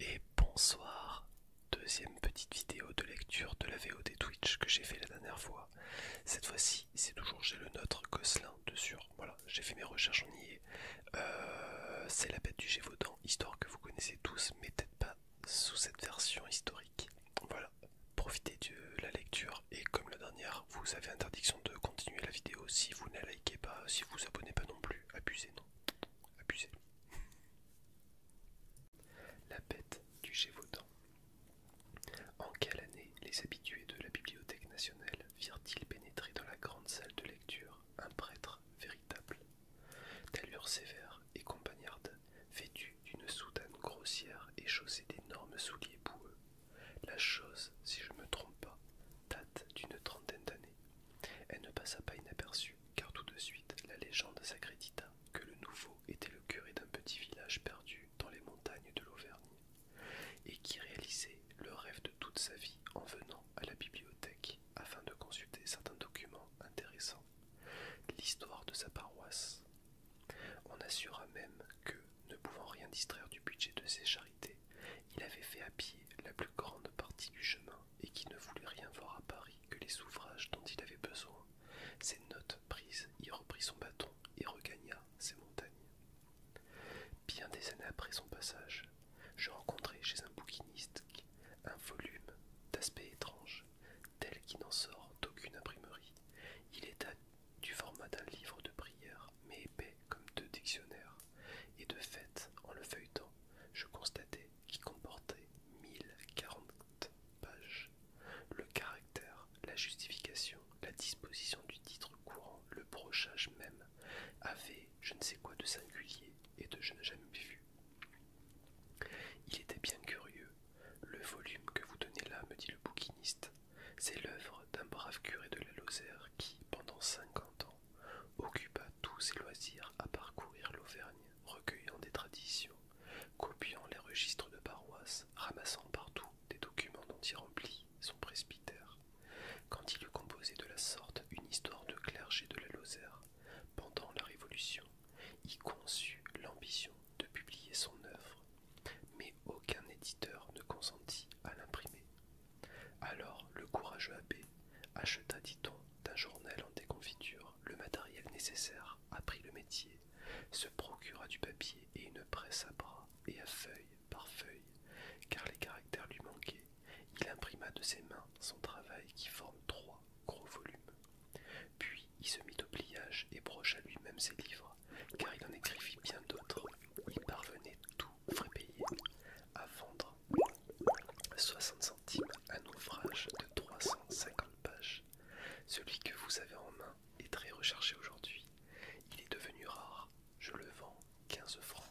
Et bonsoir, deuxième petite vidéo de lecture de la VOD Twitch que j'ai fait la dernière fois. Cette fois-ci, c'est toujours j'ai le nôtre Gosselin de Voilà, j'ai fait mes recherches en y euh, c'est la bête du Gévaudan, histoire que vous connaissez tous, mais peut-être pas sous cette version historique. Voilà, profitez de la lecture et comme la dernière, vous avez interdiction de continuer la vidéo si vous ne la likez pas, si vous vous abonnez pas non plus. Abusez, non Abusez. La bête du Gévaudan. En quelle année les habitués de la Bibliothèque nationale virent-ils pénétrer dans la grande salle de lecture un prêtre véritable, d'allure sévère et compagnarde, vêtu d'une soutane grossière et chaussée d'énormes souliers boueux La chose, si je ne me trompe pas, date d'une trentaine d'années. Elle ne passa pas inaperçue car tout de suite la légende s'accrédita que le nouveau était le curé d'un petit village perdu dans les montagnes de l'Auvergne, et qui réalisait le rêve de toute sa vie en venant à la bibliothèque afin de consulter certains documents intéressants, l'histoire de sa paroisse. On assura même que, ne pouvant rien distraire du budget de ses charités, il avait fait à pied la plus grande partie du chemin et qui ne voulait rien voir à Paris que les ouvrages dont il avait besoin, ses notes prises, il reprit son bâton et regagna ses montagnes. Bien des années après son passage, je rencontrai chez un bouquiniste un volume d'aspect étrange, tel qu'il n'en sort d'aucune imprimerie. Il était du format d'un livre de prière, mais épais comme deux dictionnaires, et de fait, en le feuilletant, je constatais qui comportait 1040 pages. Le caractère, la justification, la disposition du titre courant, le brochage même, avait je ne sais quoi de singulier et de je n'ai jamais vu. Il était bien curieux. Le volume que vous donnez là, me dit le bouquiniste, c'est l'œuvre d'un brave curé de la Lozère qui, pendant cinquante ans, occupa tous ses loisirs à parcourir l'Auvergne, recueillant des traditions, copiant les registres de paroisse, ramassant partout des documents dont il remplit son presbytère. Quand il eut composé de la sorte une histoire de clergé de la Lozère, pendant la Révolution, il conçut l'ambition de publier son œuvre, mais aucun éditeur ne consentit à l'imprimer. Alors le courageux abbé acheta, dit-on, d'un journal en déconfiture le matériel nécessaire, apprit le métier, se procura du papier et une presse à bras et à feuille par feuilles, car les caractères lui manquaient. Il imprima de ses mains son travail qui forme trois gros volumes. Puis il se mit au pliage et brocha lui-même ses livres, car il en écrivit bien d'autres. Il parvenait tout frais payés, à vendre 60 centimes un ouvrage de 350 pages. Celui que vous avez en main est très recherché aujourd'hui. Il est devenu rare. Je le vends 15 francs.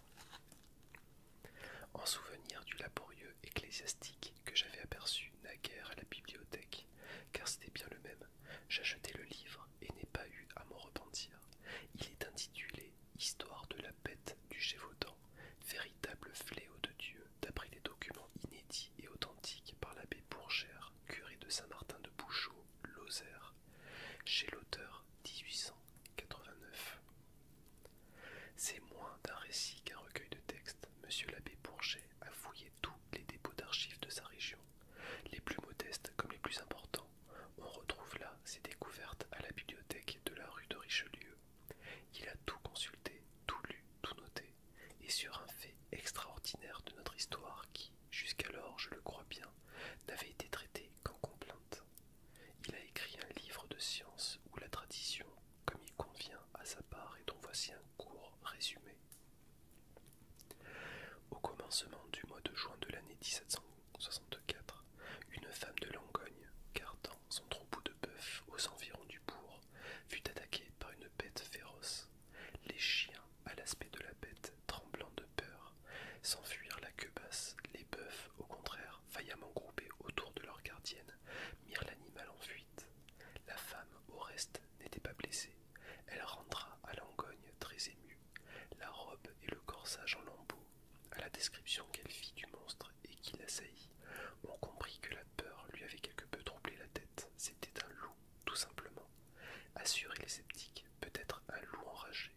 En souvenir du laborieux ecclésiastique que j'avais aperçu naguère à la bibliothèque, car c'était bien le même, j'achetai le livre et n'ai pas eu à m'en repentir. Il est intitulé Histoire de la bête du Gévaudan, véritable fléau de Dieu, d'après des documents inédits et authentiques par l'abbé Bourgère, curé de Saint-Martin de Bouchot, Lozère, chez l'auteur 1889. C'est moins d'un récit qu'un recueil de textes. Monsieur l'abbé Bourget a fouillé tous les dépôts d'archives de sa région, les plus modestes comme les plus importants. On retrouve là ses découvertes à la bibliothèque de la rue de Richelieu, il a tout consulté, tout lu, tout noté, et sur un fait extraordinaire de notre histoire qui, jusqu'alors, je le crois bien, n'avait été traité qu'en complainte. Il a écrit un livre de science où la tradition, comme il convient, à sa part, et dont voici un court résumé. Au commencement du mois de juin de l'année 1715, 64. une femme de Langogne, gardant son troupeau de bœufs aux environs du bourg, fut attaquée par une bête féroce. Les chiens, à l'aspect de la bête, tremblant de peur, s'enfuirent la queue basse. Les bœufs, au contraire, faillamment groupés autour de leur gardienne, mirent l'animal en fuite. La femme, au reste, n'était pas blessée. Elle rentra à Langogne très émue. La robe et le corsage en lambeaux à la description qu'elle fit du monstre et qu'il assaillit, on comprit que la peur lui avait quelque peu troublé la tête. C'était un loup, tout simplement. Assurer les sceptiques, peut-être un loup enragé.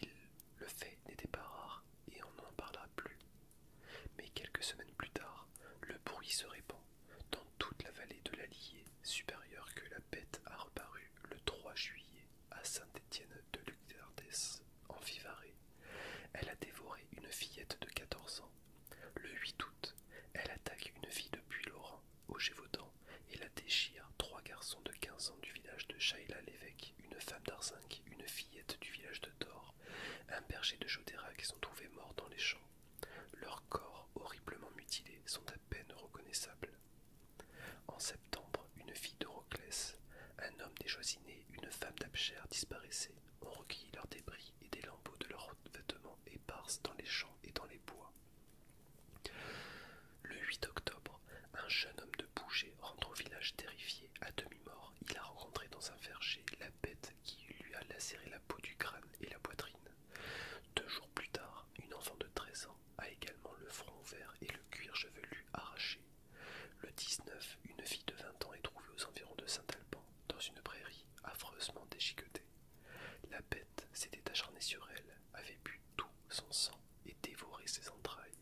Il, le fait n'était pas rare, et on n'en parla plus. Mais quelques semaines plus tard, le bruit se répand dans toute la vallée de l'Allier, supérieure que la bête a reparu le 3 juillet à Saint-Étienne de Lucardès, en Vivarais, elle a dévoré une fillette de 14 ans. Le 8 août, elle attaque une fille de Puy-Laurent, au Gévaudan, et la déchire. Trois garçons de 15 ans du village de Chaïla l'évêque, une femme d'Arzinc, une fillette du village de Thor, un berger de Jodera qui sont trouvés morts dans les champs. Leurs corps, horriblement mutilés, sont à peine reconnaissables. En septembre, une fille d'Horoclès, un homme déchoisiné, une femme d'Abcher disparaissaient. ont recueilli leurs débris et des lambeaux de leurs vêtements éparsent dans les champs et dans les bois. Le 8 octobre, un jeune homme de Bouger rentre au village terrifié, à demi-mort. Il a rencontré dans un verger la bête qui lui a lacéré la peau du crâne et la poitrine. Deux jours plus tard, une enfant de 13 ans a également le front ouvert et le cuir chevelu arraché le 19, une fille de 20 ans est trouvée aux environs de Saint-Alban, dans une prairie affreusement déchiquetée. La bête s'était acharnée sur elle, avait bu tout son sang et dévoré ses entrailles.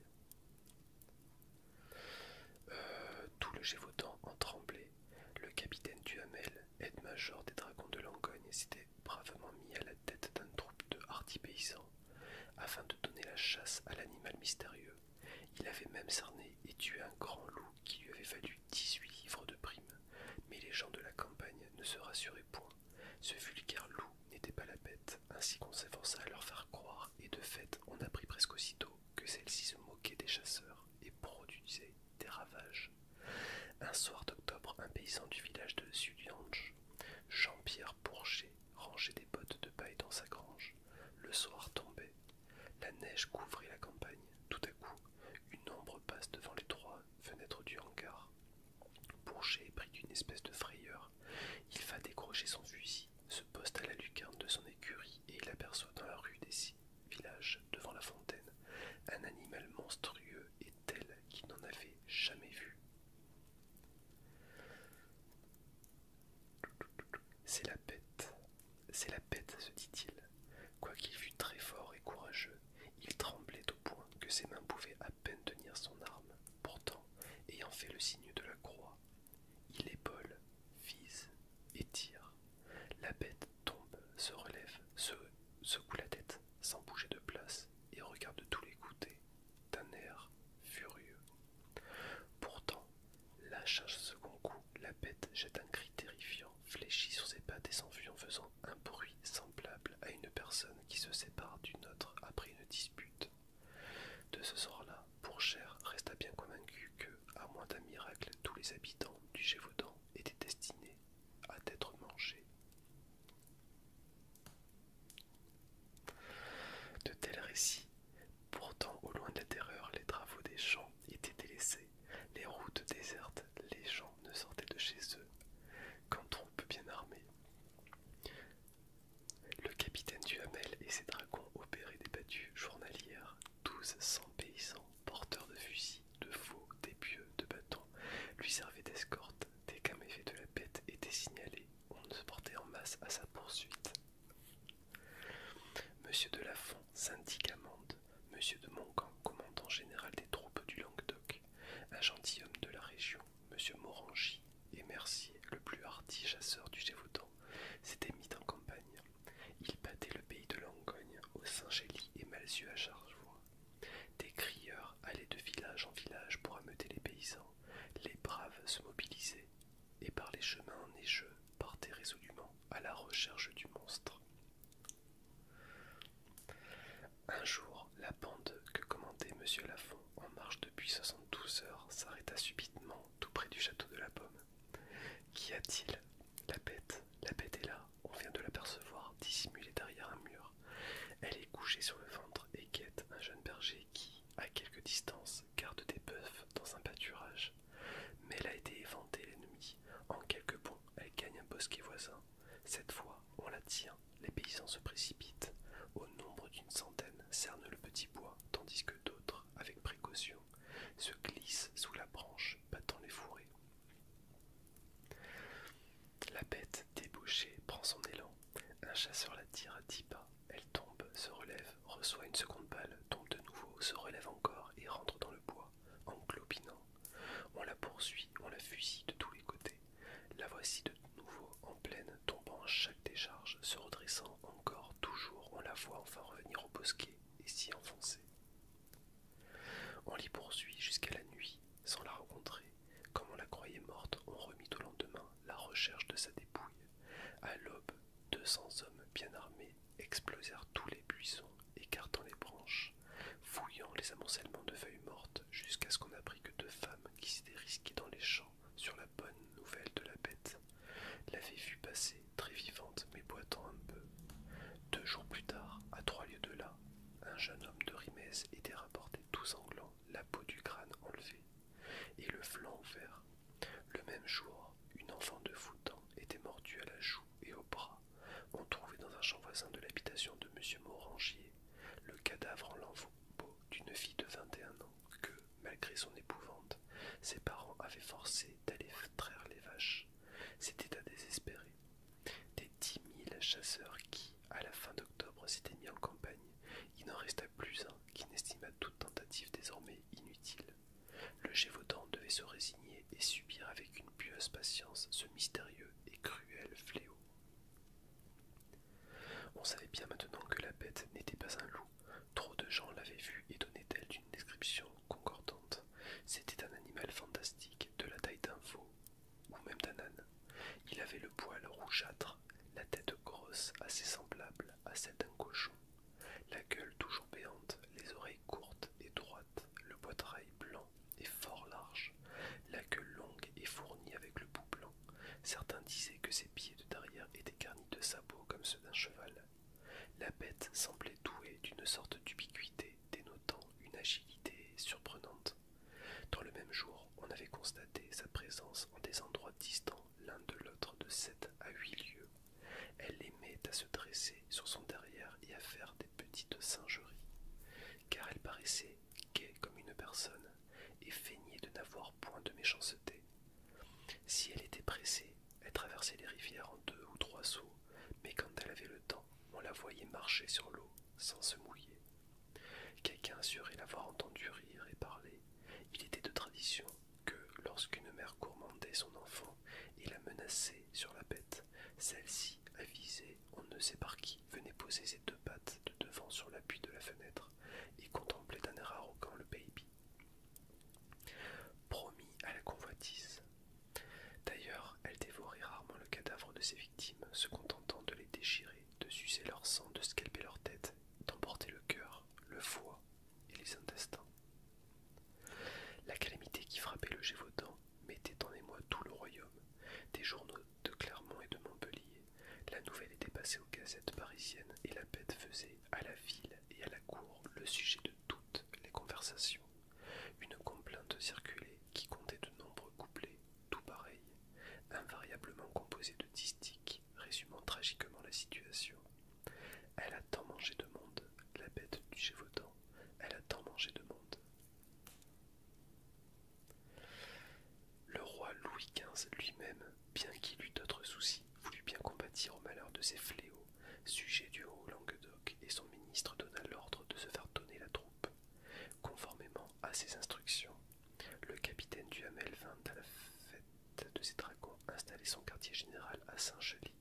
Euh, tout le Gévaudan en tremblait. Le capitaine Duhamel, aide-major des dragons de Langogne, s'était bravement mis à la tête d'un troupe de hardis paysans afin de donner la chasse à l'animal mystérieux, il avait même cerné et tué un grand loup qui lui avait valu huit livres de prime. Mais les gens de la campagne ne se rassuraient point. Ce vulgaire loup n'était pas la bête, ainsi qu'on s'efforça à leur faire croire, et de fait on apprit presque aussitôt que celle-ci se moquait des chasseurs et produisait des ravages. Un soir d'octobre, un paysan du village de Suliange, Jean-Pierre Bourget, rangé des bottes de paille dans sa grange. Le soir tombait. La neige couvrait la campagne. Tout à coup, une ombre passe devant les trois fenêtres du hangar. Bourget est pris d'une espèce de frayeur. Il va décrocher son fusil, se poste à la lucarne de son écurie et il aperçoit dans la rue des six villages, devant la fontaine, un animal monstrueux et tel qu'il n'en avait jamais vu. C'est la bête, c'est la bête, se dit-il. Quoiqu'il fût très fort et courageux, il tremblait au point que ses mains pouvaient à peine tenir son arme. Pourtant, ayant fait le signe de la croix, il épaule, vise et tire. La bête tombe, se relève, se secoue la tête, sans bouger de place, et regarde tous les côtés, d'un air furieux. Pourtant, lâchant un second coup, la bête jette un cri terrifiant, fléchit sur ses pattes et s'enfuit en faisant un bruit semblable à une personne qui se sépare d'une autre après une dispute. De ce sort-là, Pourchère resta bien convaincu que, à moins d'un miracle, tous les habitants du Gévaudan étaient destinés à être mangés. De tels récits Pourtant, au loin de la terreur, les travaux des champs étaient délaissés, les routes désertes, les gens ne sortaient de chez eux qu'en troupes bien armées. Le capitaine du Duhamel et ses dragons opéraient des battues journalières, douze cents paysans, porteurs de fusils, de faux, d'épieux, de bâtons, lui servaient d'escorte dès qu'un méfait de la bête était signalé on se portait en masse à sa poursuite. Monsieur de Lafont, syndic amende, Monsieur de Montcamp, commandant général des troupes du Languedoc, un gentilhomme de la région, Monsieur Morangy et Mercier, le plus hardi chasseur du Gévaudan, s'étaient mis en campagne. Ils battaient le pays de Langogne, au Saint-Gély et Malzieu à Chargevois. Des crieurs allaient de village en village pour ameuter les paysans. Les braves se mobilisaient, et par les chemins neigeux partait résolument à la recherche du monstre. Un jour, la bande que commandait Monsieur Lafont en marche depuis 72 heures s'arrêta subitement tout près du château de la Pomme. Qu'y a-t-il La bête, la bête est là, on vient de l'apercevoir, dissimulée derrière un mur. Elle est couchée sur le ventre et guette un jeune berger qui, à quelque distance, garde des bœufs dans un pâturage. Mais elle a été éventée, l'ennemi. En quelques bonds, elle gagne un bosquet voisin. Cette fois, on la tient. Les paysans se précipitent. Au nombre d'une centaine, cernent le petit bois, tandis que d'autres, avec précaution, se glissent sous la branche, battant les fourrés. La bête débouchée prend son élan un chasseur la tire à dix pas. Elle tombe, se relève, reçoit une seconde balle, tombe de nouveau, se relève encore et rentre dans le bois, en clopinant. On la poursuit, on la fusille de tous les côtés. La voici de nouveau en pleine, tombant à chaque décharge, se redressant encore, toujours, on la voit enfin revenir au bosquet et s'y enfoncer. On l'y poursuit jusqu'à la nuit, sans la rencontrer. Comme on la croyait morte, on remit au lendemain la recherche de sa dépouille. À l'aube, deux cents hommes bien armés explosèrent tous les buissons, écartant les branches, fouillant les amoncellements de feuilles mortes, jusqu'à ce qu'on apprît que deux femmes qui s'étaient risquées dans les champs sur la bonne nouvelle de la bête l'avaient vue passée, très vivante mais boitant un peu. Deux jours plus tard, à trois lieues de là, un jeune homme de Rimez était rapporté tout sanglant la peau du crâne enlevée et le flanc vert. Le même jour, une enfant de Foutan était mordue à la joue et au bras. On trouvait dans un champ voisin de l'habitation de M. Morangier le cadavre en lambeaux d'une fille de 21 ans que, malgré son épouvante, ses parents avaient forcé d'aller traire les vaches. C'était à désespérer. Des dix mille chasseurs qui, à la fin d'octobre, s'étaient mis en campagne, il n'en resta plus un qui n'estima toute tentative désormais inutile. Le Gévaudan devait se résigner et subir avec une pieuse patience ce mystérieux et cruel fléau. On savait bien maintenant que la bête n'était pas un loup. Trop de gens l'avaient vue et donnaient d'elle d'une description concordante. C'était un animal fantastique, de la taille d'un veau, ou même d'un âne. Il avait le poil rougeâtre, la tête grosse, assez semblable à celle d'un cochon, la gueule toujours béante, les oreilles courtes et droites, le poitrail blanc et fort large, la queue longue et fournie avec le bout blanc. Certains disaient que ses pieds de derrière étaient garnis de sabots comme ceux d'un cheval. La bête semblait douée d'une sorte d'ubiquité dénotant une agilité surprenante. Dans le même jour, on avait constaté sa présence en des endroits distants l'un de l'autre de sept à huit lieues. Elle aimait à se dresser sur son derrière et à faire des petites singeries, car elle paraissait gaie comme une personne et feignait de n'avoir point de méchanceté. Si elle était pressée, elle traversait les rivières en deux ou trois sauts, mais quand elle avait le temps, on la voyait marcher sur l'eau sans se mouiller. Quelqu'un assurait l'avoir entendu rire et parler, il était de tradition que, lorsqu'une mère gourmandait son enfant et la menaçait sur la bête, celle-ci, avisée on ne sait par qui, venait poser ses deux pattes de devant sur l'appui de la fenêtre et contemplait d'un air arrogant le baby. Promis à la convoitise. D'ailleurs, elle dévorait rarement le cadavre de ses victimes, se contentant de les déchirer, de sucer leur sang, de scalper leur tête, d'emporter le cœur le foie et les intestins. La calamité qui frappait le Gévaudan mettait en émoi tout le royaume, des journaux de Clermont et de Montpellier. La nouvelle était passée aux gazettes parisiennes et la bête faisait à la ville et à la cour le sujet de toutes les conversations. Une complainte circulait qui comptait de nombreux couplets, tout pareils, invariablement composés de distiques résumant tragiquement la situation. Elle a tant mangé de monde, la bête du Gévaudan, elle a tant mangé de monde. Le roi Louis XV lui-même, bien qu'il eût d'autres soucis, voulut bien combattre au malheur de ses fléaux, sujet du haut Languedoc, et son ministre donna l'ordre de se faire donner la troupe. Conformément à ses instructions, le capitaine Duhamel vint à la fête de ses dragons installer son quartier général à saint chaly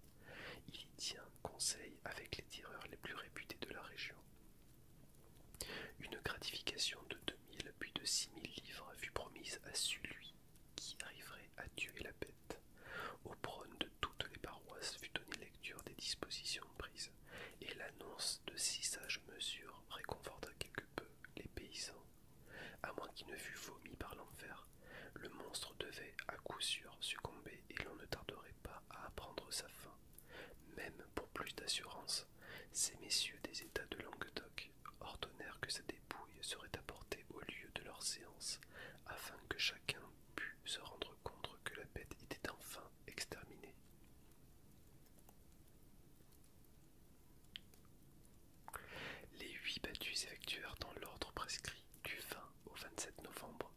Il y tient conseil avec les tireurs les plus réputés de la région. Une gratification de 2000 puis de 6000 livres fut promise à celui qui arriverait à tuer la bête. Au prône de toutes les paroisses fut donnée lecture des dispositions prises, et l'annonce de six sages mesures réconforta quelque peu les paysans à moins qu'il ne fût vomi par l'enfer, le monstre devait à coup sûr succomber et l'on ne tarderait pas à apprendre sa fin. Même pour plus d'assurance, ces messieurs des États de Languedoc ordonnèrent que sa dépouille serait apportée au lieu de leur séance, afin que chacun pût se rendre compte que la bête était enfin exterminée. Les huit battues s'effectuèrent dans l'ordre prescrit du 20 au 27 novembre.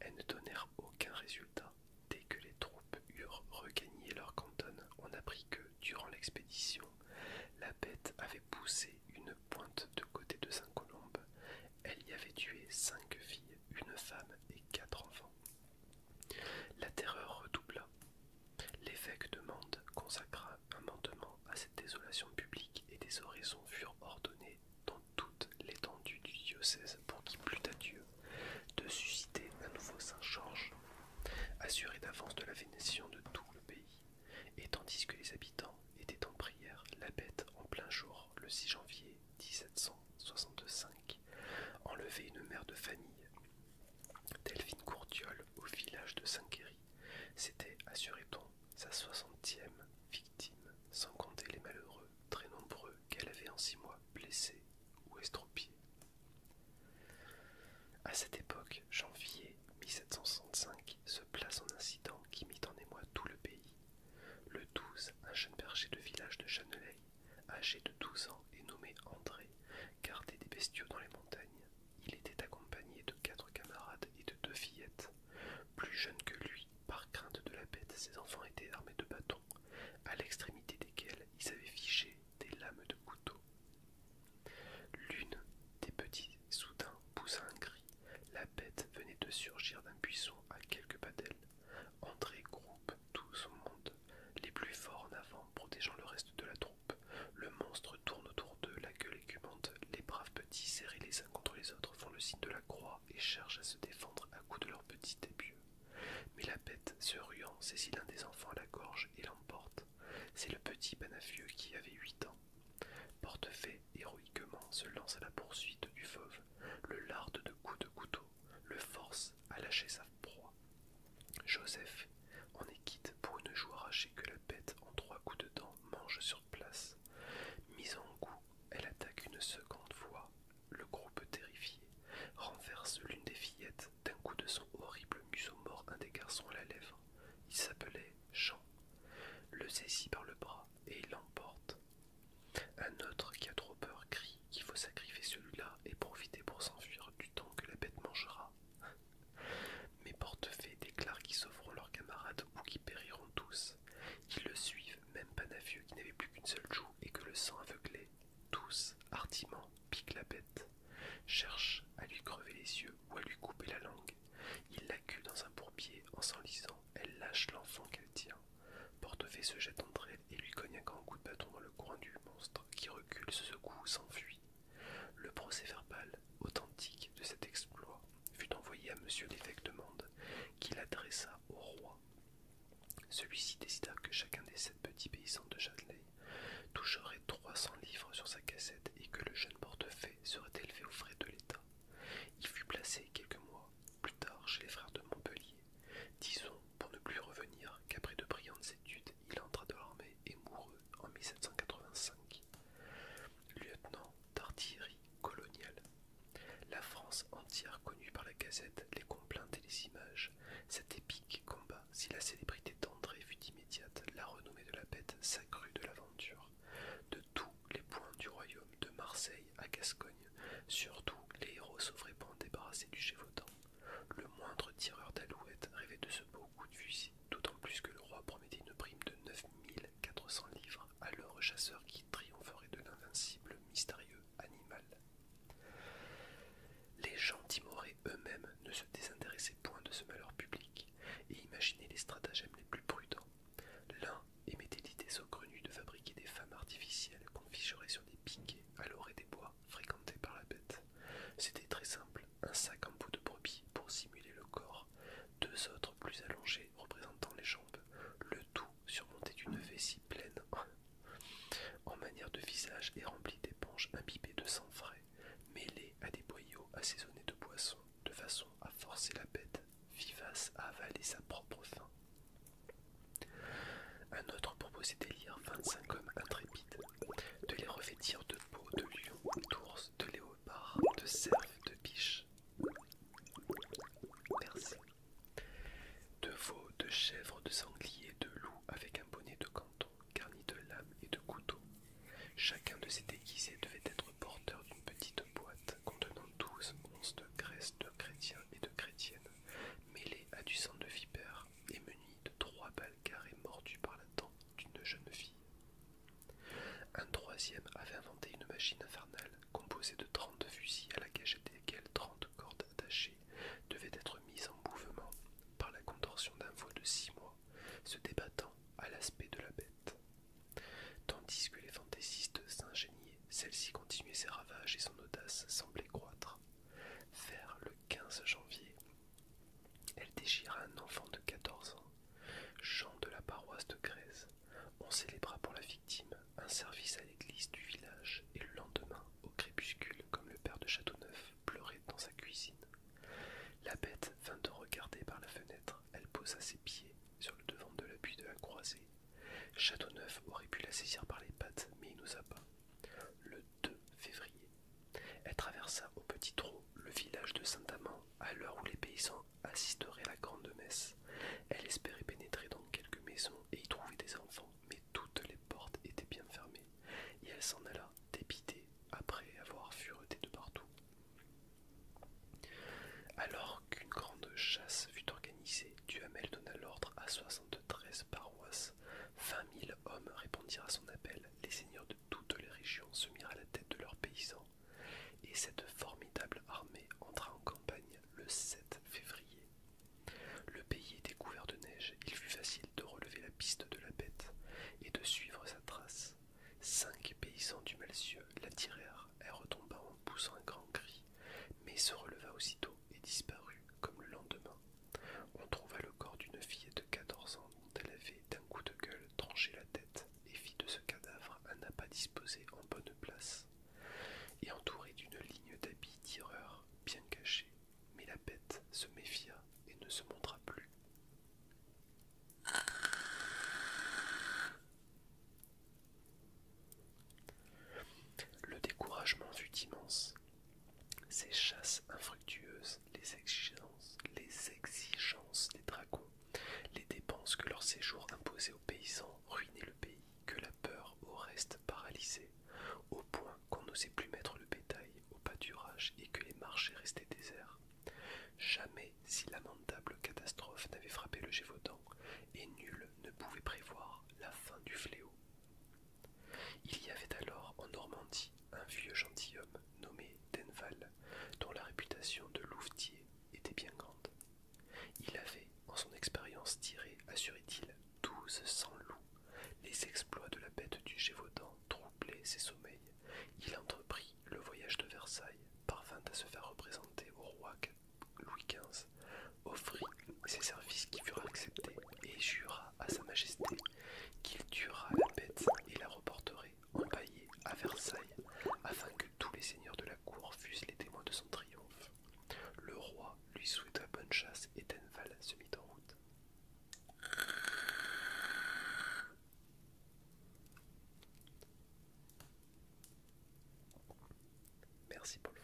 Elles ne donnèrent aucun résultat. Dès que les troupes eurent regagné leur canton, on apprit que, durant l'expédition, la bête avait poussé une pointe de côté de Saint-Colombe. Elle y avait tué cinq filles, une femme et quatre enfants. La terreur redoubla. L'évêque de Mende consacra un mandement à cette désolation publique et des oraisons furent ordonnées dans toute l'étendue du diocèse pour qu'il plût à Dieu de susciter un nouveau Saint-Georges, assuré d'avance de la vénétion de tout le pays. Et tandis que les habitants étaient en prière, la bête en plein jour, le 6 janvier 1765, enlevait une mère de famille Delphine Courtiol au village de Saint-Quéry, c'était, assurait-on, sa soixantième victime, sans compter les malheureux, très nombreux, qu'elle avait en six mois blessés ou estropiés. A cette époque, janvier 1765, se place un incident qui mit en émoi tout le pays. Le 12, un jeune berger du village de Chanelay, âgé de 12 ans et nommé André, garder des bestiaux dans les montagnes. Il était accompagné de quatre camarades et de deux fillettes. Plus jeunes que lui, par crainte de la bête, ses enfants étaient armés de bâtons, à l'extrémité desquels ils avaient fiché des lames de couteau. L'une des petits soudain poussa un cri. La bête venait de surgir d'un buisson à quelques pas d'elle. André groupe tout son monde les plus forts en avant, protégeant le reste de la troupe. Le monstre tourne autour d'eux, la gueule écumante. Les braves petits, serrés les uns contre les autres, font le signe de la croix et cherchent à se défendre à coups de leurs petits épieux. Mais la bête, se ruant, saisit l'un des enfants à la gorge et l'emporte. C'est le petit Panafieux qui avait huit ans. Portefait, héroïquement, se lance à la poursuite du fauve, le larde de coups de couteau, le force à lâcher sa proie. Joseph en est quitte pour une joue arrachée que la bête en trois coups de dents mange sur place. Mise en cou, elle attaque une seconde fois. Le groupe terrifié renverse l'une des fillettes d'un coup de son horrible museau mort un des garçons à la lèvre. Il s'appelait Jean. Le saisit par le bras et il l'emporte. Un autre qui a trop peur crie qu'il faut sacrifier celui-là et profiter pour s'enfuir du temps que la bête mangera. Mais Portefaix déclare qu'ils sauveront leurs camarades ou qu'ils périront tous. Ils le suivent, même Panafieux qui n'avait plus qu'une seule joue et que le sang aveuglait. Tous, hardiment, piquent la bête, cherche à lui crever les yeux ou à lui couper la langue. Il l'accueille dans un bourbier en s'enlisant. Elle lâche l'enfant qu'elle tient. Portefaix se jette entre elle, et lui cogne un grand coup de bâton dans le coin du monstre qui recule, se secoue, s'enfuit. Le procès-verbal authentique de cet exploit fut envoyé à Monsieur l'évêque de Mende, qui l'adressa au roi. Celui-ci décida que chacun des sept petits paysans de Châtelet toucherait trois cents livres sur sa cassette et que le jeune portefeuille serait élevé aux frais de l'État. Il fut placé quelques mois plus tard chez les frères de Montpellier, disons pour ne plus revenir qu'après de brillantes études il entra dans l'armée et mourut en 1785. Lieutenant d'artillerie coloniale. La France entière connue par la gazette les complaintes et les images. Cet épique combat, si la célébrité d'André fut immédiate, la renommée de la bête s'accrut de l'aventure. De tous les points du royaume, de Marseille à Gascogne, surtout les héros s'offraient pour en débarrasser du Gévaudan. Le moindre tireur d'alouette rêvait de ce beau coup de fusil, d'autant plus que le roi promettait une prime de 9400 livres à l'heure chasseur qui triompherait de l'invincible mystérieux animal. Les gens timorés eux-mêmes ne se désintéressaient point de ce malheur public et imaginaient les stratagèmes les plus prudents. L'un émettait l'idée saugrenue de fabriquer des femmes artificielles qu'on ficherait sur des piquets à l'orée des bois, Fréquenté par la bête. C'était très simple, un sac en bout de brebis pour simuler le corps, deux autres plus allongés représentant les jambes, le tout surmonté d'une vessie pleine en manière de visage et rempli d'éponges imbibées de sang frais, mêlées à des boyaux assaisonnés de boissons, de façon à forcer la bête vivace à avaler sa propre faim. Un autre proposait d'élire 25 hommes intrépides de les revêtir de peaux de lion, d'ours, de léopard, de cerf, de biche. De veau, de chèvre, de sanglier, de loup avec un bonnet de canton garni de lames et de couteaux. Chacun de ces déguisés devait être porteur d'une petite boîte contenant douze onces de graisse de chrétiens et de chrétiennes mêlées à du sang de vipère et de trois balles carrées mordues par la dent d'une jeune fille. Un troisième avait inventé une machine infernale composée de trente fusils à la cage desquels trente cordes attachées devaient être mises en mouvement par la contorsion d'un veau de six mois, se débattant à l'aspect de la bête. Tandis que les fantaisistes s'ingéniaient, celle-ci continuait ses ravages et son audace semblait croître. Vers le 15 janvier, elle déchira un enfant de quatorze ans, Jean de la paroisse de Grèze. On célébra pour la victime un service à l'église du village et le lendemain, au crépuscule, comme le père de Châteauneuf pleurait dans sa cuisine. La bête vint de regarder par la fenêtre, elle posa ses pieds sur le devant de l'appui de la croisée. Châteauneuf aurait pu la saisir par les pattes, mais il n'osa pas février. Elle traversa au petit trot le village de Saint-Amand à l'heure où les paysans assisteraient à la grande messe. Elle espérait pénétrer dans quelques maisons et y trouver des enfants, mais toutes les portes étaient bien fermées, et elle s'en alla dépitée après avoir fureté de partout. Alors qu'une grande chasse fut organisée, Duhamel donna l'ordre à 73 paroisses, 20 000 hommes à son appel. Les seigneurs de toutes les régions se mirent à la tête de leurs paysans, et cette formidable armée entra en campagne le 7 février. Le pays était couvert de neige, il fut facile de relever la piste de la bête et de suivre sa trace. Cinq paysans du Malcieux l'attirèrent. elle retomba en poussant un grand cri, mais se releva aussitôt et disparut comme le lendemain on trouva le corps d'une fille de 14 ans dont elle avait, d'un coup de gueule, tranché la tête et fit de ce cadavre un appât disposé en bonne place et entouré d'une ligne d'habits tireurs bien cachés. Mais la bête se méfia et ne se montra plus. Le découragement fut immense ces chasses infructueuses, les exigences, les exigences des dragons, les dépenses que leur séjour imposait aux paysans ruinaient le pays, que la peur au reste paralysait, au point qu'on n'osait plus mettre le bétail au pâturage et que les marchés restaient déserts. Jamais si lamentable catastrophe n'avait frappé le Gévaudan, et nul ne pouvait prévoir la fin du fléau. Il y avait alors en Normandie un vieux gentilhomme nommé Denval, dont la réputation de louvetier était bien grande. Il avait, en son expérience tiré, assurait-il, douze cents loups. Les exploits de la bête du Gévaudan troublaient ses sommeils. Il entreprit le voyage de Versailles, parvint à se faire représenter au roi Louis XV, offrit ses services qui furent acceptés et jura à Sa Majesté qu'il tuera la bête et la reporterait empaillée à Versailles, afin que tous les seigneurs de la cour fussent les témoins de son triomphe. Le roi lui souhaita bonne chasse et Denval se mit en route. Merci Paul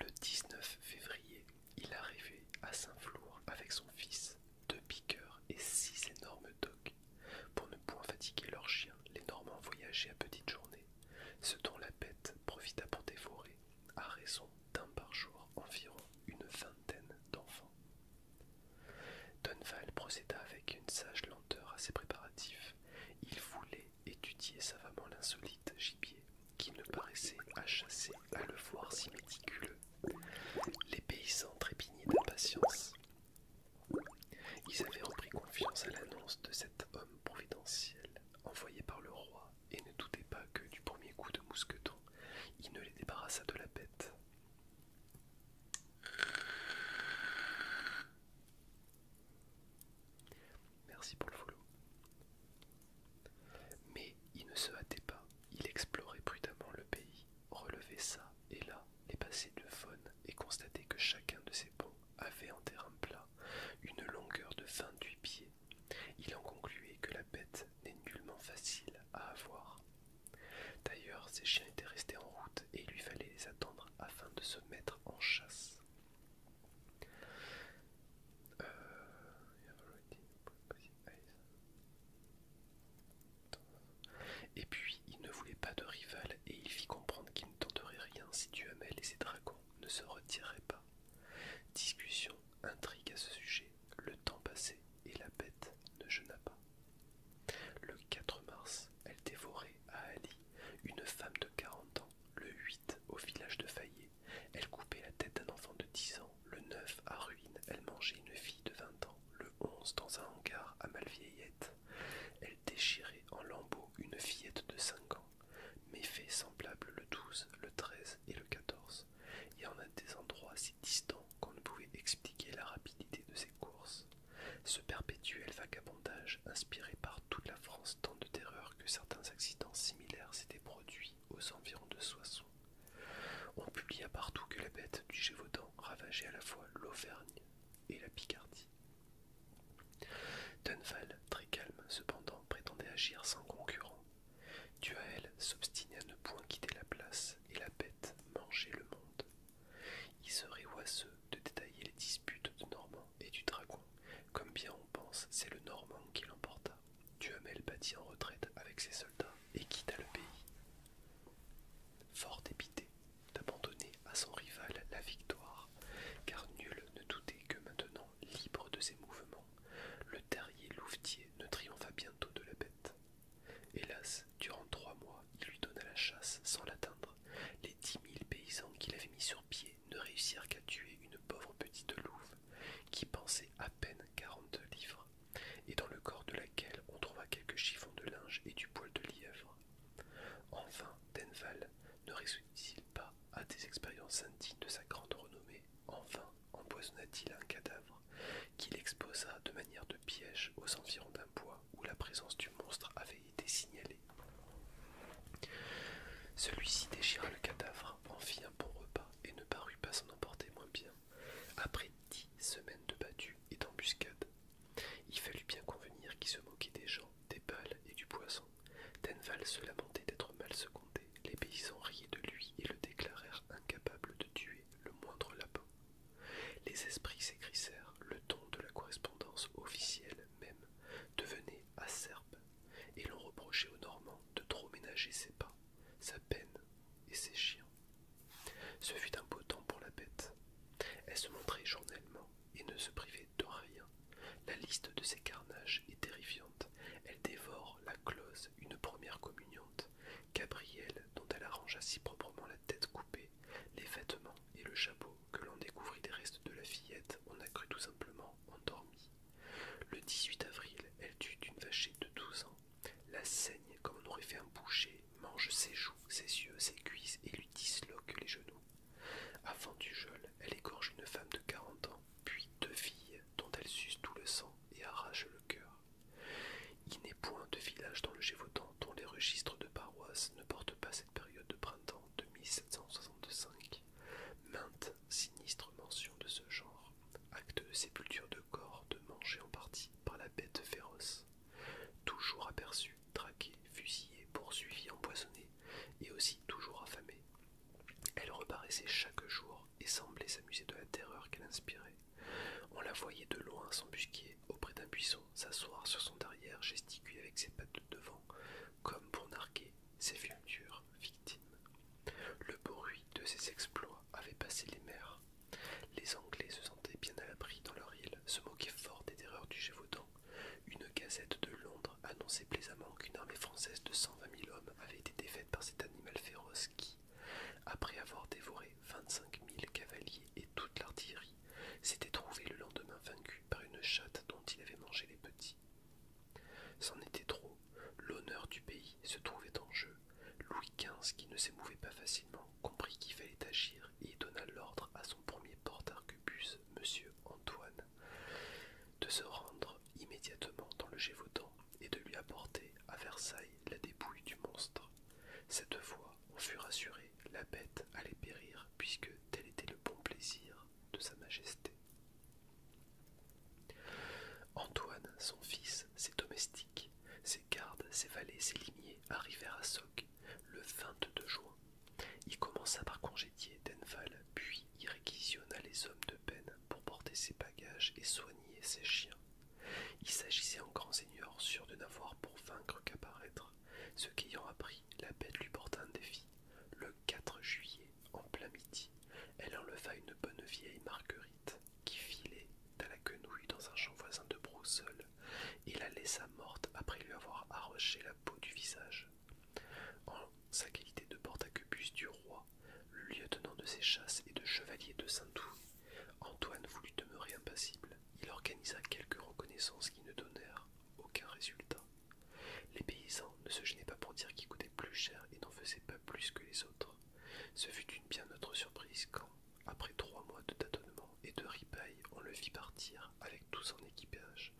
Le 19 février il arrivait à Saint-Flour avec son fils, deux piqueurs et six énormes dogs, Pour ne point fatiguer leurs chiens, les Normands voyageaient à petite journées, ce dont la bête profita pour dévorer, à raison d'un par jour, environ une vingtaine d'enfants. Dunval procéda avec une sage lenteur à ses préparatifs. Il voulait étudier savamment l'insolite gibier qui ne paraissait à chasser à le voir si méticuleux. Les paysans trépignaient d'impatience. Ils avaient repris confiance à l'annonce de cet homme providentiel envoyé par le roi et ne doutaient pas que du premier coup de mousqueton, il ne les débarrassât de la bête. Merci pour le follow. Mais il ne se hâtait pas, il explorait prudemment le pays, relevait ça et là les passés de faune et constatait que chacun de ces ponts avait en terrain plat une longueur de 28 pieds. Il en concluait que la bête n'est nullement facile à avoir. D'ailleurs, ses chiens étaient restés en route et il lui fallait les attendre afin de se mettre en chasse. Euh, et puis il ne voulait pas de rival et il fit comprendre qu'il ne tenterait rien si Duhamel et ses dragons ne se retiraient pas. Discussion, intrigue à ce sujet, le temps passait et la bête ne jeûna pas. Le 4 mars, elle dévorait à Ali une femme de 40 ans, le 8 au village de Fayet. Elle coupait la tête d'un enfant de 10 ans, le 9 à ruines, elle mangeait une fille de 20 ans, le 11 dans un hangar à Malvieillette. Elle déchirait en lambeaux une fillette de 5 ans. Méfaits semblables le 12, le 13 et le 14. Il y en a des endroits si distants qu'on ne pouvait expliquer la rapidité de ses courses. Ce perpétuel vagabondage inspiré par toute la France tant de terreur que certains accidents similaires s'étaient produits aux environs de Soissons on publia partout que la bête du Gévaudan ravageait à la fois l'Auvergne et la Picardie. Dunval, très calme cependant, prétendait agir sans concurrent. Duhal s'obstinait à ne point quitter la place et la bête mangeait le monde. Il serait oiseux de détailler les disputes de Normand et du Dragon, comme bien on pense, c'est le Normand qui l'emporta. Duhamel battit en retraite avec ses soldats et quitta le pays. Fort dépité d'abandonner à son rival la victoire, car nul ne doutait que maintenant, libre de ses mouvements, le terrier louvetier ne triompha bientôt de la bête. Hélas, durant trois mois, il lui donna la chasse sans l'atteindre. Les dix mille paysans qu'il avait mis sur pied ne réussirent qu'à tuer une pauvre petite louve qui pensait à peine quarante livres, et dans le corps de laquelle on trouva quelques chiffons de linge et du poil de lièvre. Enfin, Denval ne réussit-il pas à des expériences indignes de sa grande renommée Enfin, empoisonna-t-il un cadavre qu'il exposa de manière de piège aux environs d'un bois où la présence du monstre avait été signalée. Celui-ci déchira le cadavre en fit un bon repas et ne parut pas s'en emporter moins bien. Après dix semaines de battues et d'embuscades, il fallut bien convenir qu'il se moquait des gens, des balles et du poisson. Tenval se lamentait d'être mal secondé, les paysans riaient de lui et le déclarèrent incapable de tuer le moindre lapin. Les esprits s'écrissèrent, le ton de la correspondance officielle même devenait acerbe et l'on reprochait aux Normands de trop ménager ses pas, sa peine et ses chiens. Ce fut un beau temps pour la bête. Elle se montrait journellement et ne se privait de rien. La liste de ses carnages est terrifiante. Elle dévore la close, une première communiante, Gabrielle, dont elle arrangea si proprement la tête coupée, les vêtements et le chapeau que l'on découvrit des restes de la fillette, on a cru tout simplement endormie. Le 18 avril, elle tue une vachette de 12 ans, la saigne comme on aurait fait un boucher, mange ses joues, ses yeux, ses cuisses et lui disloque les genoux. Avant du geôle, elle égorge une femme de 40 ans, puis deux filles dont elle suce tout le sang et arrache le cœur. Il n'est point de village dans le Gévaudan dont les registres de paroisse ne portent pas cette période de printemps de 1765. Mainte sinistre mention de ce genre acte de sépulture de corps de manger en partie par la bête féroce, toujours aperçue, traquée, fusillée, poursuivie, empoisonnée, et aussi toujours affamée, Elle reparaissait chaque jour et semblait s'amuser de la terreur qu'elle inspirait. On la voyait de loin s'embusquer auprès d'un buisson, s'asseoir sur son derrière, gesticuler avec ses pattes de devant, comme pour narquer ses futures victimes. Le bruit de ses exploits avait passé les mers. Les Anglais se sentaient bien à l'abri dans leur île, se moquaient fort des terreurs du Gévaudan. Une gazette de Londres annonçait plaisamment qu'une armée française de 120 mille hommes avait été défaite par cet animal féroce qui, après avoir dévoré vingt-cinq mille cavaliers et toute l'artillerie, s'était trouvé le lendemain vaincu par une chatte dont il avait mangé les petits. C'en était trop, l'honneur du pays se trouvait en jeu. Louis XV, qui ne s'émouvait pas facilement, comprit qu'il fallait agir et donna l'ordre à son premier porte-arquebus, M. Antoine, de se rendre immédiatement dans le Gévaudan et de lui apporter à Versailles la dépouille du monstre. Cette fois, on fut rassuré, la bête allait périr, puisque tel était le bon plaisir de Sa Majesté. Antoine, son fils, ses domestiques, ses gardes, ses valets, ses limiers arrivèrent à Soc le 22 juin. Il commença par congédier Denval, puis il réquisitionna les hommes de peine pour porter ses bagages et soigner ses chiens. Il s'agissait en grand seigneur sûr de n'avoir pour vaincre qu'à paraître, ce qu'ayant appris, la bête lui porta un défi. Le 4 juillet, en plein midi, elle enleva une bonne vieille marguerite qui filait à la quenouille dans un champ voisin de Broussel, et la laissa morte après lui avoir arraché la peau du visage. En sa qualité de porte à du roi, le lieutenant de ses chasses et de chevalier de Saint-Doux, Antoine voulut demeurer impassible. Il organisa quelques reconnaissances qui ne donnèrent aucun résultat. Les paysans ne se gênaient pas pour dire qu'ils coûtaient plus cher et n'en faisaient pas plus que les autres. Ce fut une bien autre surprise quand, après trois mois de tâtonnement et de ripailles, on le vit partir, avec tout son équipage,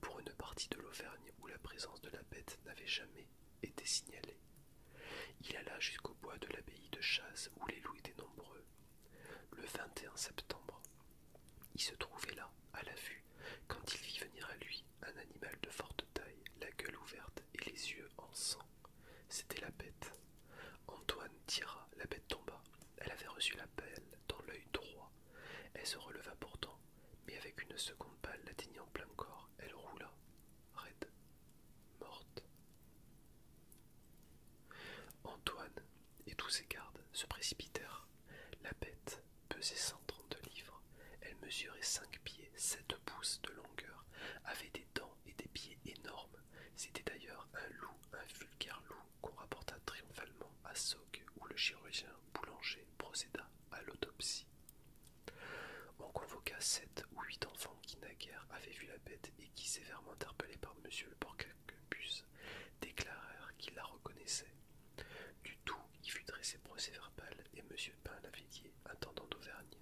pour une partie de l'Auvergne où la présence de la bête n'avait jamais été signalée. Il alla jusqu'au bois de l'abbaye de Chasse où les loups étaient nombreux. Le 21 septembre, il se trouvait là, à la vue, quand il vit venir à lui un animal de forte la gueule ouverte et les yeux en sang. C'était la bête. Antoine tira, la bête tomba. Elle avait reçu la pelle dans l'œil droit. Elle se releva pourtant, mais avec une seconde balle l'atteignant plein corps, elle roula, raide, morte. Antoine et tous ses gardes se précipitèrent. La bête pesait 132 livres. Elle mesurait cinq pieds, 7 de longueur, avait des dents et des pieds énormes. C'était d'ailleurs un loup, un vulgaire loup, qu'on rapporta triomphalement à Sog, où le chirurgien boulanger procéda à l'autopsie. On convoqua sept ou huit enfants qui naguère avaient vu la bête et qui, sévèrement interpellés par monsieur le porcacupus, déclarèrent qu'ils la reconnaissaient. Du tout, qui fut dressé procès-verbal et M. Pain-Lavillier, intendant d'Auvergne,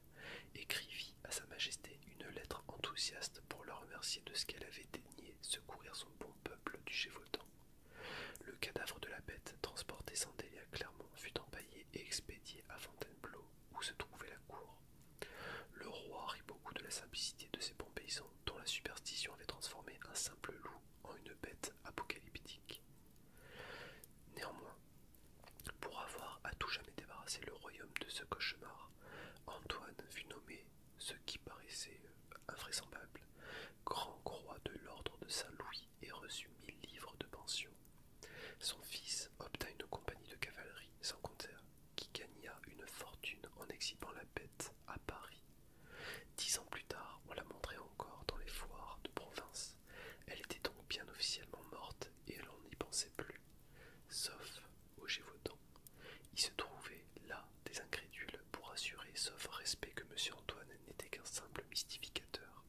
écrivit à Sa Majesté une lettre enthousiaste pour la remercier de ce qu'elle avait daigné secourir son bon peuple du Gévaudan. Le cadavre de la bête, transporté sans délai à Clermont, fut empaillé et expédié à Fontainebleau, où se trouvait la cour. Le roi rit beaucoup de la simplicité de ces bons paysans, dont la superstition avait transformé un simple loup en une bête apocalyptique. Néanmoins, pour avoir à tout jamais débarrassé le royaume de ce cauchemar, Antoine fut nommé ce qui paraissait euh, invraisemblable, grand croix de l'ordre de Saint-Louis et reçut mille livres de pension. Son fils obtint une compagnie de cavalerie sans compter qui gagna une fortune en exhibant la bête à Paris. Dix ans plus tard, on la montrait encore dans les foires de province. Elle était donc bien officiellement morte et on n'y pensait plus. Sauf au Gévaudan. Il se trouvait là des incrédules pour assurer, sauf respect, que M. Antoine n'était qu'un simple mystificateur.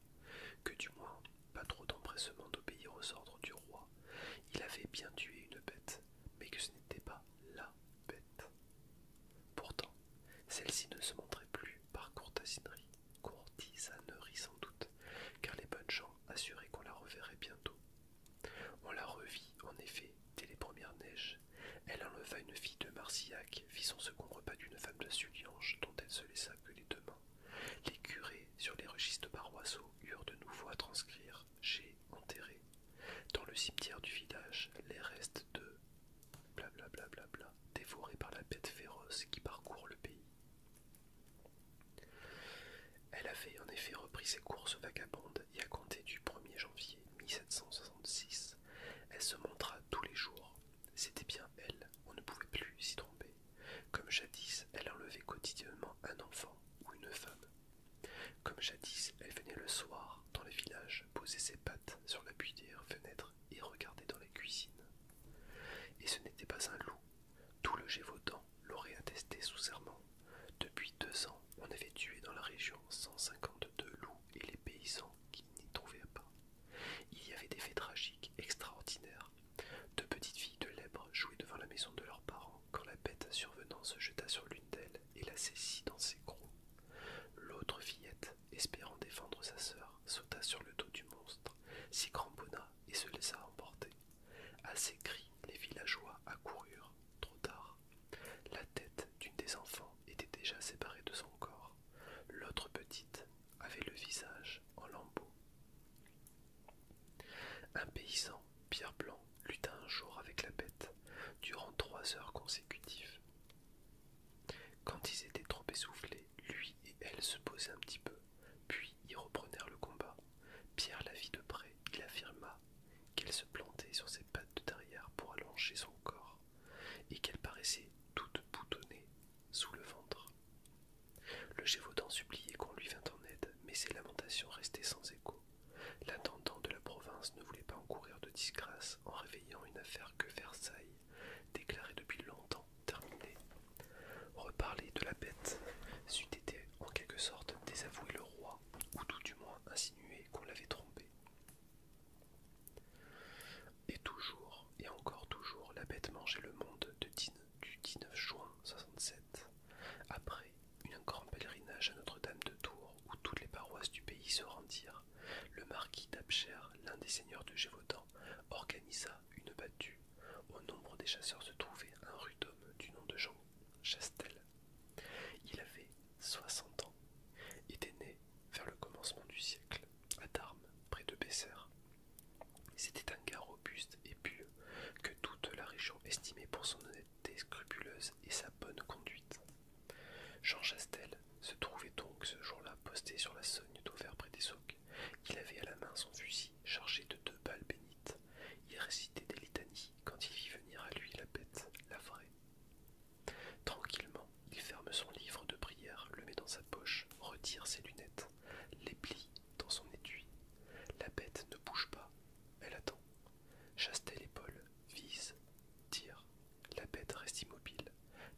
Que du moins, pas trop d'empressement d'obéir aux ordres du roi. Il avait bien tué une bête, mais que ce n'était pas la bête. Pourtant, celle-ci ne se montrait plus par courtasinerie courtisanerie sans doute, car les bonnes gens assuraient qu'on la reverrait bientôt. On la revit, en effet, dès les premières neiges. Elle enleva une fille de marsillac fit son second repas d'une femme de Sulliange, dont elle se laissa que les deux mains. Les curés, sur les registres paroissiaux, eurent de nouveau à transcrire j'ai enterré. Dans le cimetière du village, les restes de blablabla, bla par la bête féroce qui parcourt le pays. Elle avait en effet repris ses courses vagabondes et à compter du 1er janvier 1766, elle se montra tous les jours. C'était bien elle, on ne pouvait plus s'y tromper. Comme jadis, elle enlevait quotidiennement un enfant ou une femme. Comme jadis, elle venait le soir dans les villages poser ses pattes sur la des fenêtre et regardait dans la cuisine. Et ce n'était pas un loup. Tout le Gévaudan l'aurait attesté sous serment. Depuis deux ans, on avait tué dans la région 152 loups et les paysans qui n'y trouvaient pas. Il y avait des faits tragiques extraordinaires. Deux petites filles de lèbres jouaient devant la maison de leurs parents quand la bête survenant se jeta sur l'une d'elles et la saisit dans ses crocs. L'autre fillette, espérant défendre sa sœur, sauta sur le dos du monstre, s'y cramponna et se laissa emporter. À ces cris, les villageois accoururent, trop tard. La tête d'une des enfants était déjà séparée de son corps. L'autre petite avait le visage en lambeaux. Un paysan, Pierre Blanc, lutta un jour avec la bête, durant trois heures consécutives. Quand ils étaient trop essoufflés, lui et elle se posaient un petit peu, puis ils reprenèrent le combat. Pierre la vit de près, il affirma qu'elle se plantait sur ses pattes de derrière pour allonger son corps, et qu'elle paraissait toute boutonnée sous le ventre. Le Gévaudan suppliait qu'on lui vînt en aide, mais ses lamentations restaient sans écho. L'intendant de la province ne voulait pas encourir de disgrâce en réveillant une affaire que Versailles déclarait depuis longtemps terminé, reparler de la bête c'eût été en quelque sorte désavouer le roi, ou tout du moins insinuer qu'on l'avait trompé. Et toujours, et encore toujours, la bête mangeait le monde du 19 juin 67, après un grand pèlerinage à Notre-Dame de Tours où toutes les paroisses du pays se rendirent, le marquis d'Apcher, l'un des seigneurs de Gévaudan, organisa une battue. Au nombre des chasseurs se trouvait un rude homme du nom de Jean Chastel. Il avait 60 ans, était né vers le commencement du siècle, à Darmes, près de Bessères. C'était un gars robuste et pieux, que toute la région estimait pour son honnêteté scrupuleuse et sa bonne conduite. Jean Chastel se trouvait donc ce jour-là posté sur la Sogne d'Auvers près des il avait à la main son fusil chargé de deux balles bénites. Il récitait des litanies quand il vit venir à lui la bête, la vraie. Tranquillement, il ferme son livre de prière, le met dans sa poche, retire ses lunettes, les plie dans son étui. La bête ne bouge pas, elle attend. Chastel l'épaule, vise, tire. La bête reste immobile,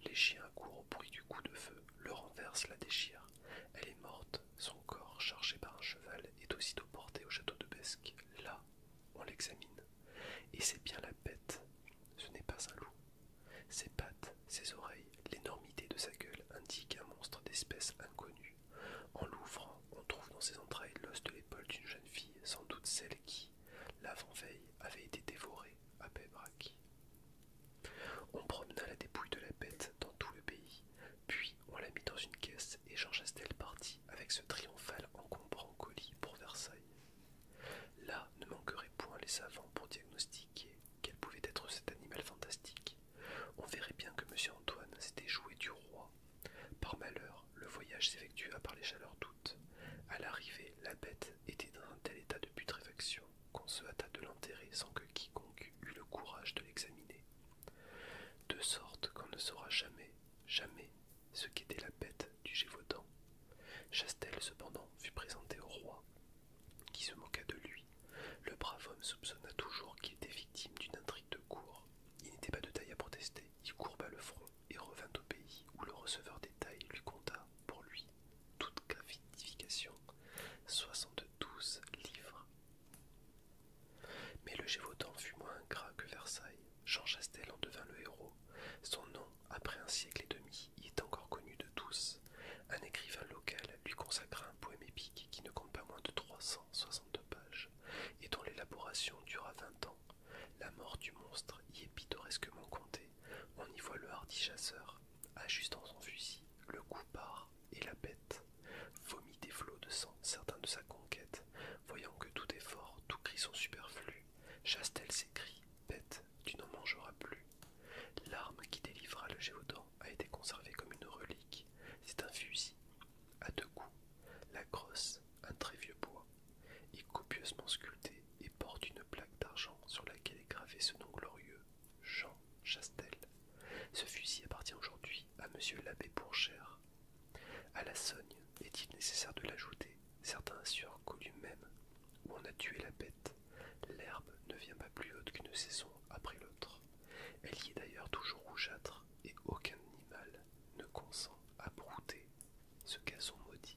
les chiens courent au bruit du coup de feu, le renversent, la déchirent. Elle est morte, son corps, chargé par un cheval, est aussitôt porté au château de Besque. Là, on l'examine. Et c'est bien la bête. Ce n'est pas un loup. Ses pattes, ses oreilles, l'énormité de sa gueule indiquent un monstre d'espèce inconnue. En l'ouvrant, on trouve dans ses entrailles l'os de l'épaule d'une jeune fille, sans doute celle qui, l'avant-veille, avait été dévorée à Pébrac. On promena la dépouille de la bête dans tout le pays, puis on la mit dans une caisse et Jean Chastel partit avec ce triomphal encombrant colis pour Versailles. Là ne manqueraient point les savants pour diagnostiquer quel pouvait être cet animal fantastique. On verrait bien que monsieur Antoine s'était joué du roi. Par malheur, le voyage s'effectua par les chaleurs d'août. À l'arrivée, la bête était dans un tel état de putréfaction qu'on se hâta de l'enterrer sans que quiconque eût le courage de l'examiner, de sorte qu'on ne saura jamais, jamais ce qu'était la bête du Gévaudan. Chastel, cependant, fut présenté au roi, qui se moqua de lui. Le brave homme soupçonna toujours qu'il était victime d'une intrigue de cour. Il n'était pas de taille à protester, il courba le front et revint au pays où le receveur des tailles lui compta pour lui, toute toute soixante 72 livres. Mais le Gévaudan fut moins ingrat que Versailles. Jean Chastel en devint le héros. Son nom, après un siècle et demi, y est encore connu de tous. Un écrivain local lui consacra un poème épique qui ne compte pas moins de trois cent soixante-deux pages et dont l'élaboration dura vingt ans. La mort du monstre y est pittoresquement contée. On y voit le hardi chasseur Ajustant son fusil, le coup part et la bête vomit des flots de sang, certains de sa conquête. Voyant que tout effort, tout cri sont superflus, Chastel s'écrie Bête, tu n'en mangeras plus. L'arme qui délivra le géodan a été conservée comme une relique. C'est un fusil, à deux coups, la crosse, un très vieux bois, est copieusement sculpté, et porte une plaque d'argent sur laquelle est gravé ce nom glorieux Jean Chastel. Ce fusil appartient aujourd'hui à monsieur l'abbé Bourchère. À la sogne, est-il nécessaire de l'ajouter Certains assurent qu'au lui-même, où on a tué la bête, l'herbe ne vient pas plus haute qu'une saison après l'autre. Elle y est d'ailleurs toujours rougeâtre, et aucun animal ne consent à brouter ce gazon maudit.